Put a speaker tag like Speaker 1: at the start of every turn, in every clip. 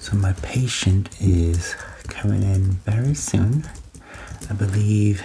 Speaker 1: So my patient is coming in very soon. I believe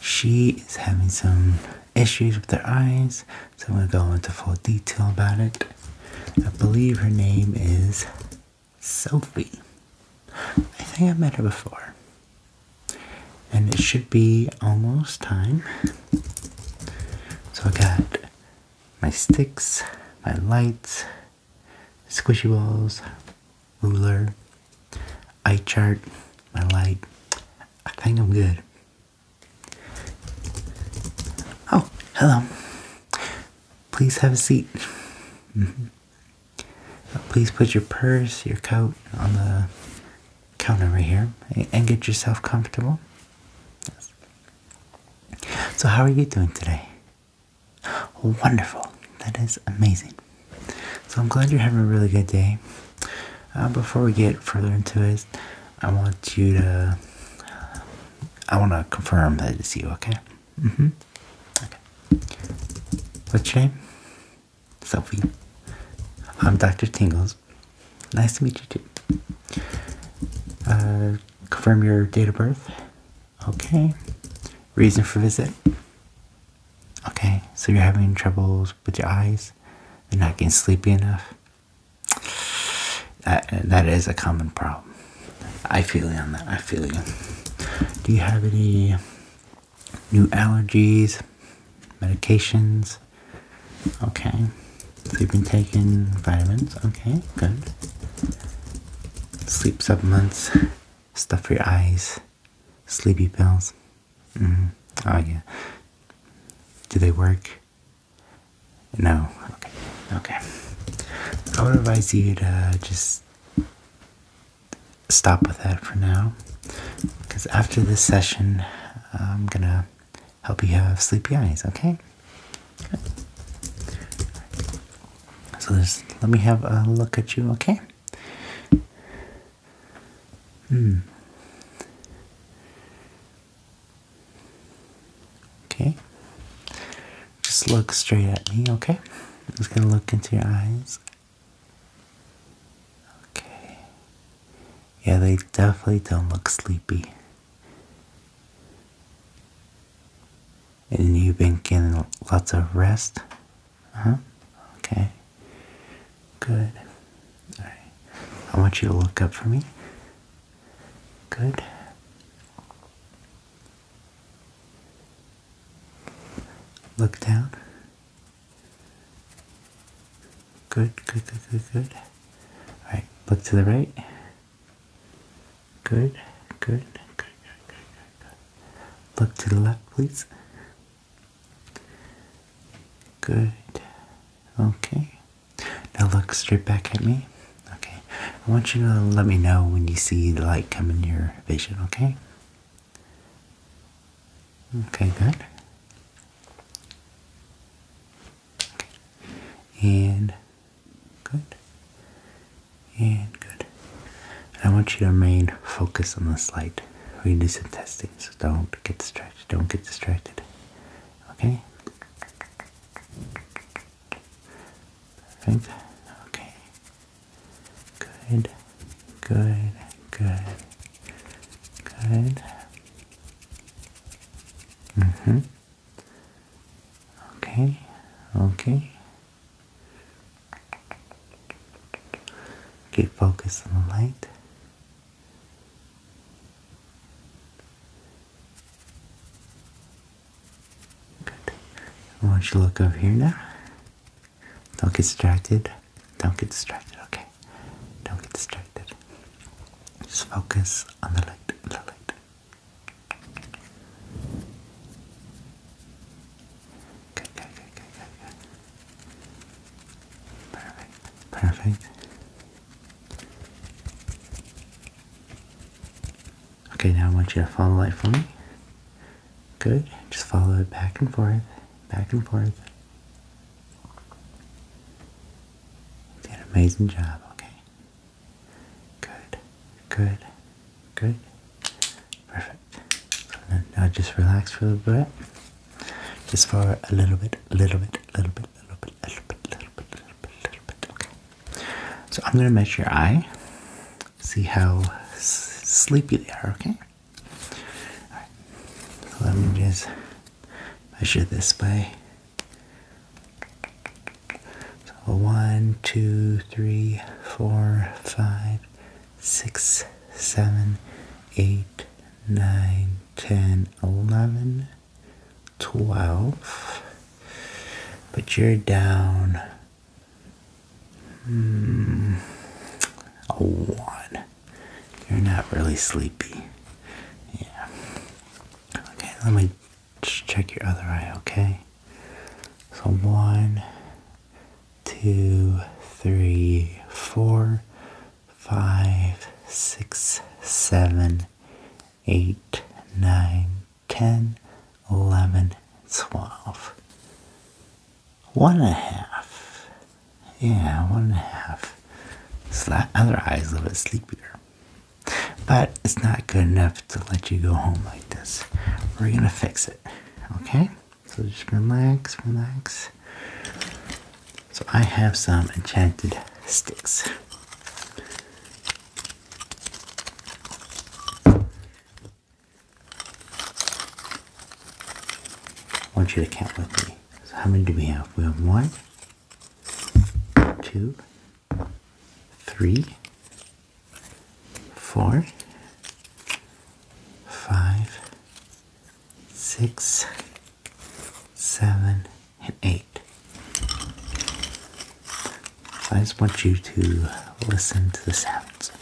Speaker 1: she is having some issues with her eyes, so I'm going to go into full detail about it. I believe her name is Sophie. I think I've met her before. And it should be almost time. So I got my sticks, my lights, squishy balls, ruler, eye chart, my light. I think I'm good. Oh, hello. Please have a seat. Mm-hmm. Please put your purse, your coat on the counter right here and get yourself comfortable. So, how are you doing today? Wonderful. That is amazing. So, I'm glad you're having a really good day. Uh, before we get further into it, I want you to. I want to confirm that it's you, okay? Mm hmm. Okay. What's your name? Sophie. I'm Dr. Tingles. Nice to meet you too. Uh, confirm your date of birth. Okay. Reason for visit. Okay, so you're having troubles with your eyes. you not getting sleepy enough. That that is a common problem. I feel you on that. I feel you. Do you have any new allergies, medications? Okay you've been taking vitamins, okay, good. Sleep supplements, stuff for your eyes, sleepy pills. Mm. Oh yeah. Do they work? No. Okay. Okay. I would advise you to just stop with that for now, because after this session, I'm gonna help you have sleepy eyes. Okay. So let me have a look at you, okay? Hmm. Okay. Just look straight at me, okay? just gonna look into your eyes. Okay. Yeah, they definitely don't look sleepy. And you've been getting lots of rest? Huh? Okay. Good. Alright. I want you to look up for me. Good. Look down. Good, good, good, good, good. Alright, look to the right. Good, good, good, good, good, good. Look to the left, please. Good. Okay. Now look straight back at me. Okay. I want you to let me know when you see the light come in your vision, okay? Okay, good. And Good. And good. I want you to remain focused on the slide. We do some testing, so don't get distracted. Don't get distracted. Okay? Okay. Good. Good. Good. Good. Mm-hmm. Okay, okay. Keep focused on the light. Good. I want you to look up here now. Don't get distracted. Don't get distracted, okay? Don't get distracted. Just focus on the light, the light, Good, good, good, good, good, Perfect, perfect. Okay, now I want you to follow it for me. Good, just follow it back and forth, back and forth. You did an amazing job, okay? Good, good, good. Perfect. So then now just relax for a little bit. Just for a little bit, a little bit, a little bit, a little bit, a little bit, a little bit, a little bit, a little bit. Okay. So I'm gonna measure your eye. See how sleepy they are. Okay. All right. So let me just measure this by so one, two, three, four, five, six, seven, eight, nine, ten, eleven, twelve. But you're down hmm, one. You're not really sleepy. Yeah. Okay, let me just check your other eye, okay? So one, two, three, four, five, six, seven, eight, nine, ten, eleven, twelve. One and a half. Yeah, one and a half. So that other eye is a little bit sleepier. But it's not good enough to let you go home like this. We're gonna fix it, okay? So just relax, relax. So I have some enchanted sticks. I want you to count with me. So how many do we have? We have one, two, three, four, five, six, seven, and eight. I just want you to listen to the sounds.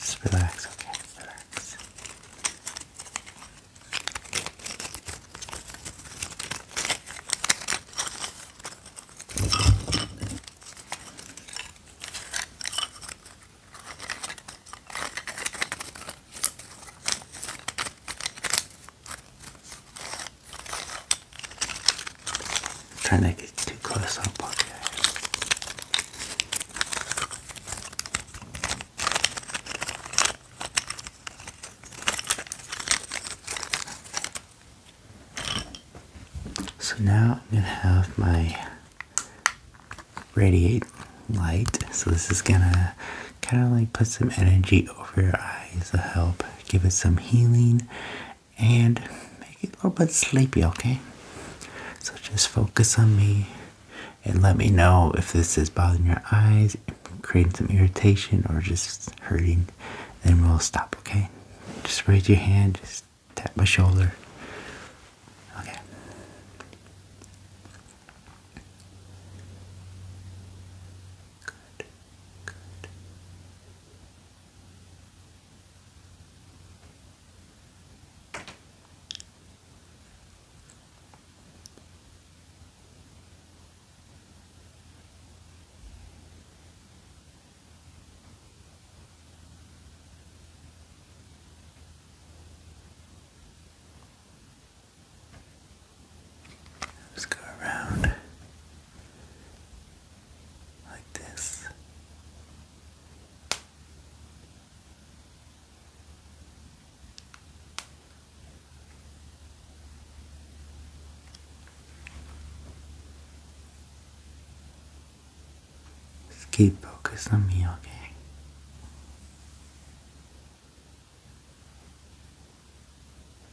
Speaker 1: Just relax, okay? Relax. Trying to get too close up, okay. So now I'm going to have my radiate light. So this is gonna kind of like put some energy over your eyes to help give it some healing and make it a little bit sleepy, okay? So just focus on me and let me know if this is bothering your eyes, creating some irritation or just hurting, then we'll stop, okay? Just raise your hand, just Tap my shoulder. Okay. Good. Good. Let's go around like this. Just keep focus on me, okay?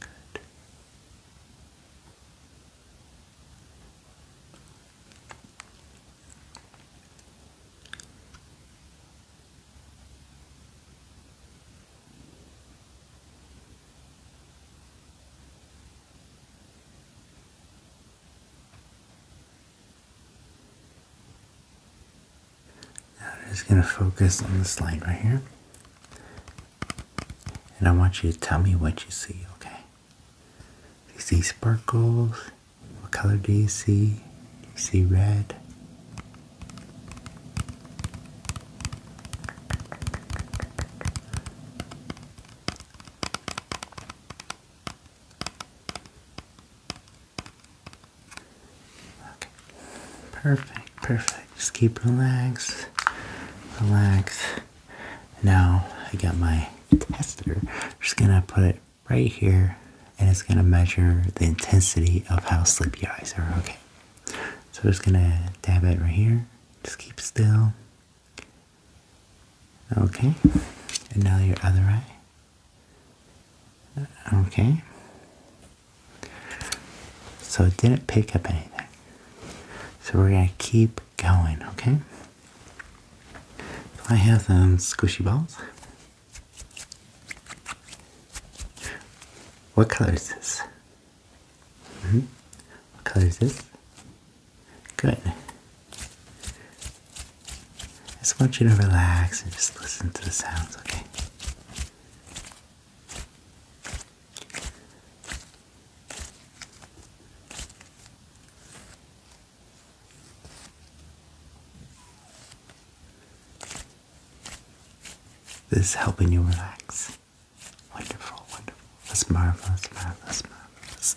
Speaker 1: Good. I'm just going to focus on this line right here. And I want you to tell me what you see, okay? you see sparkles? What color do you see? Do you see red? Okay. Perfect, perfect. Just keep relaxed. Relax. Now I got my tester. just gonna put it right here and it's gonna measure the intensity of how sleepy eyes are. Okay. So just gonna dab it right here. Just keep still. Okay. And now your other eye. Okay. So it didn't pick up anything. So we're going to keep going, okay? I have some squishy balls. What color is this? Mm -hmm. What color is this? Good. I just want you to relax and just listen to the sounds, okay? This is helping you relax. Wonderful, wonderful. That's marvelous, marvelous, marvelous.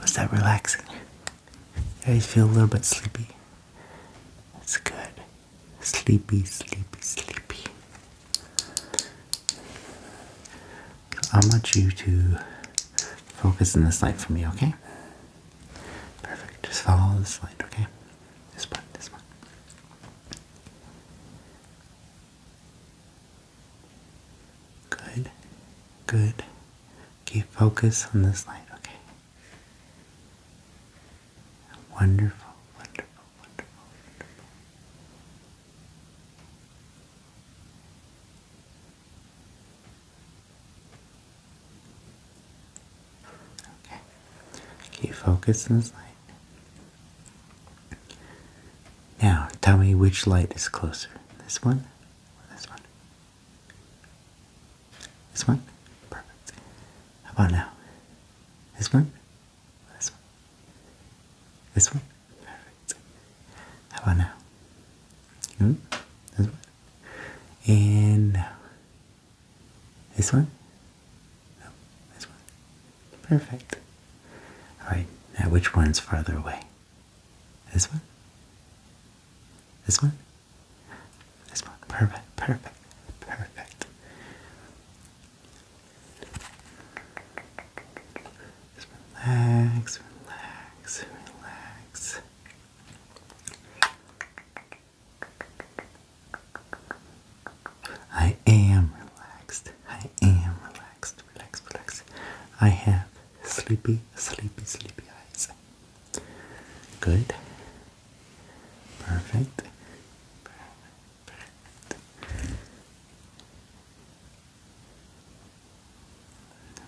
Speaker 1: Was that relaxing? I feel a little bit sleepy. That's good. Sleepy, sleepy, sleepy. I want you to focus in this light for me, okay? Perfect. Just follow this light, okay? This one, this one. Good, good, Keep focus on this light, okay? Wonderful, wonderful, wonderful, wonderful. Okay. Keep focus on this light. Now, tell me which light is closer. This one or this one? This one? Perfect. How about now? This one? This one? This one? Perfect. How about now? Ooh, hmm? this one? And now. This one? No, this one. Perfect. Alright, now which one's farther away? This one? This one? This one. Perfect, perfect, perfect. relax, relax, relax. I am relaxed. I am relaxed. Relax, relax. I have sleepy, sleepy, sleepy eyes. Good. Perfect. Perfect.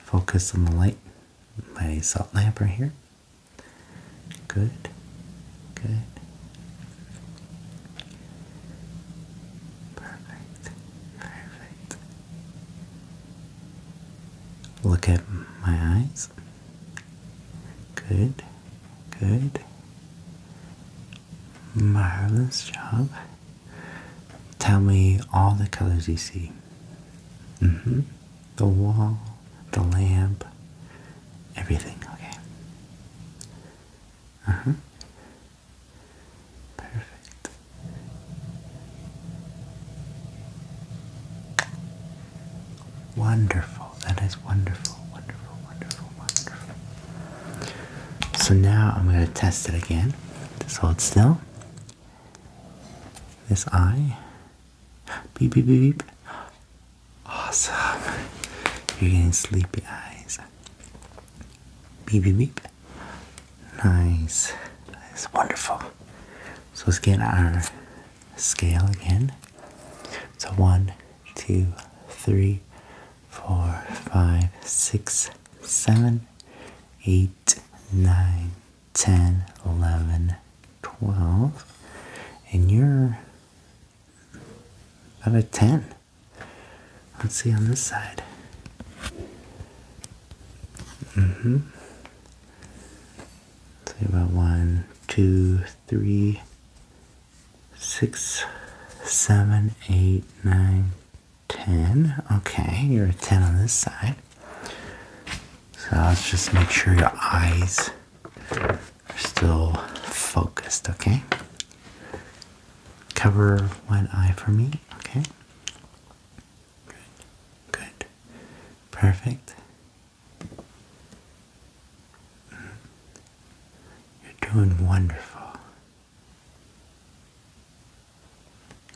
Speaker 1: Focus on the light. My salt lamp right here. Good. Good. Perfect. Perfect. Look at my eyes. Good, good. Marvelous job. Tell me all the colors you see. hmm. The wall, the lamp, everything. Okay. Uh Perfect. Wonderful. That is wonderful, wonderful, wonderful, wonderful. So now I'm going to test it again. Just hold still. This eye. Beep, beep, beep, beep. Awesome. You're getting sleepy eyes. Beep, beep, beep. Nice. That is wonderful. So let's get our scale again. So one, two, three, four, five, six, seven, eight, nine, ten, eleven, twelve, and you're about a ten. Let's see on this side. Mm-hmm. Say about one, two, three, six, seven, eight, nine, ten. Okay, you're a ten on this side. So let's just make sure your eyes are still focused, okay? Cover one eye for me, okay? Good. Good. Perfect. Mm. You're doing wonderful.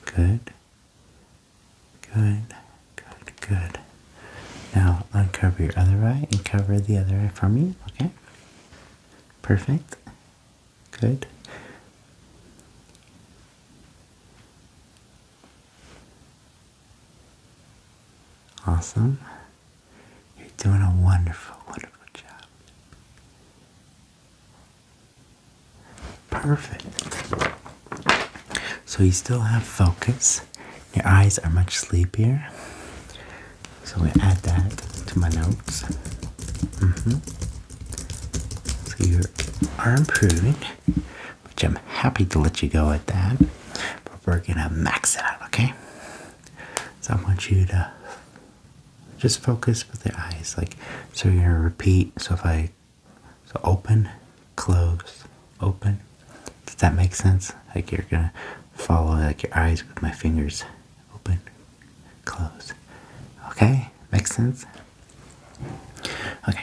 Speaker 1: Good. Good. Good. Good. Now uncover your other eye and cover the other eye for me, okay? Perfect. Good. Awesome. You're doing a wonderful, wonderful job. Perfect. So you still have focus. Your eyes are much sleepier. So I add that to my notes. Mm -hmm. So you are improving which I'm happy to let you go at that. But we're gonna max it out, okay? So I want you to just focus with your eyes, like so. You're gonna repeat. So if I so open, close, open. Does that make sense? Like you're gonna follow like your eyes with my fingers. Open, close. Okay, makes sense. Okay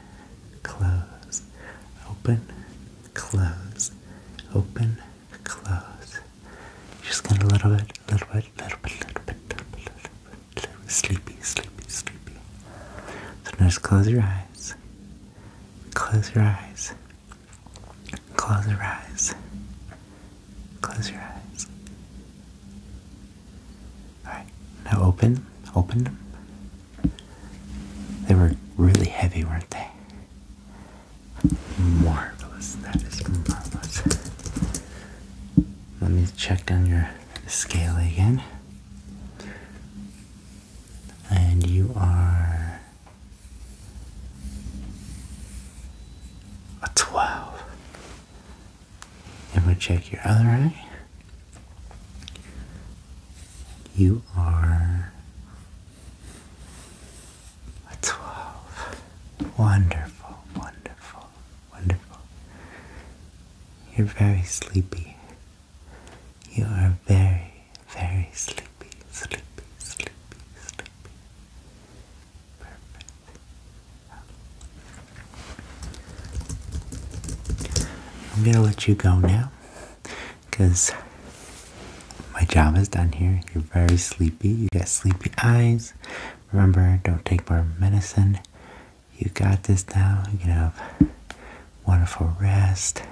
Speaker 1: close, open, close, open, close. just get a little bit, little bit, little bit, little bit, little bit, little bit, little bit, sleepy, sleepy, sleepy. So now just close your eyes. Close your eyes. Close your eyes. Close your eyes. Alright, now open, open them, they were really heavy, weren't they? Marvelous. That is marvelous. Let me check down your scale again. And you are a 12. And we check your other eye. You are a 12. Wonderful, wonderful, wonderful. You're very sleepy. You are very, very sleepy, sleepy, sleepy, sleepy. Perfect. I'm going to let you go now because my job is done here. You're very sleepy. You got sleepy eyes. Remember, don't take more medicine. You got this now. You have wonderful rest.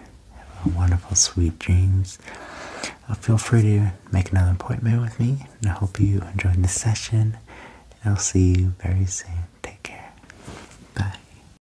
Speaker 1: Have wonderful, sweet dreams. Uh, feel free to make another appointment with me. And I hope you enjoyed this session. I'll see you very soon. Take care. Bye.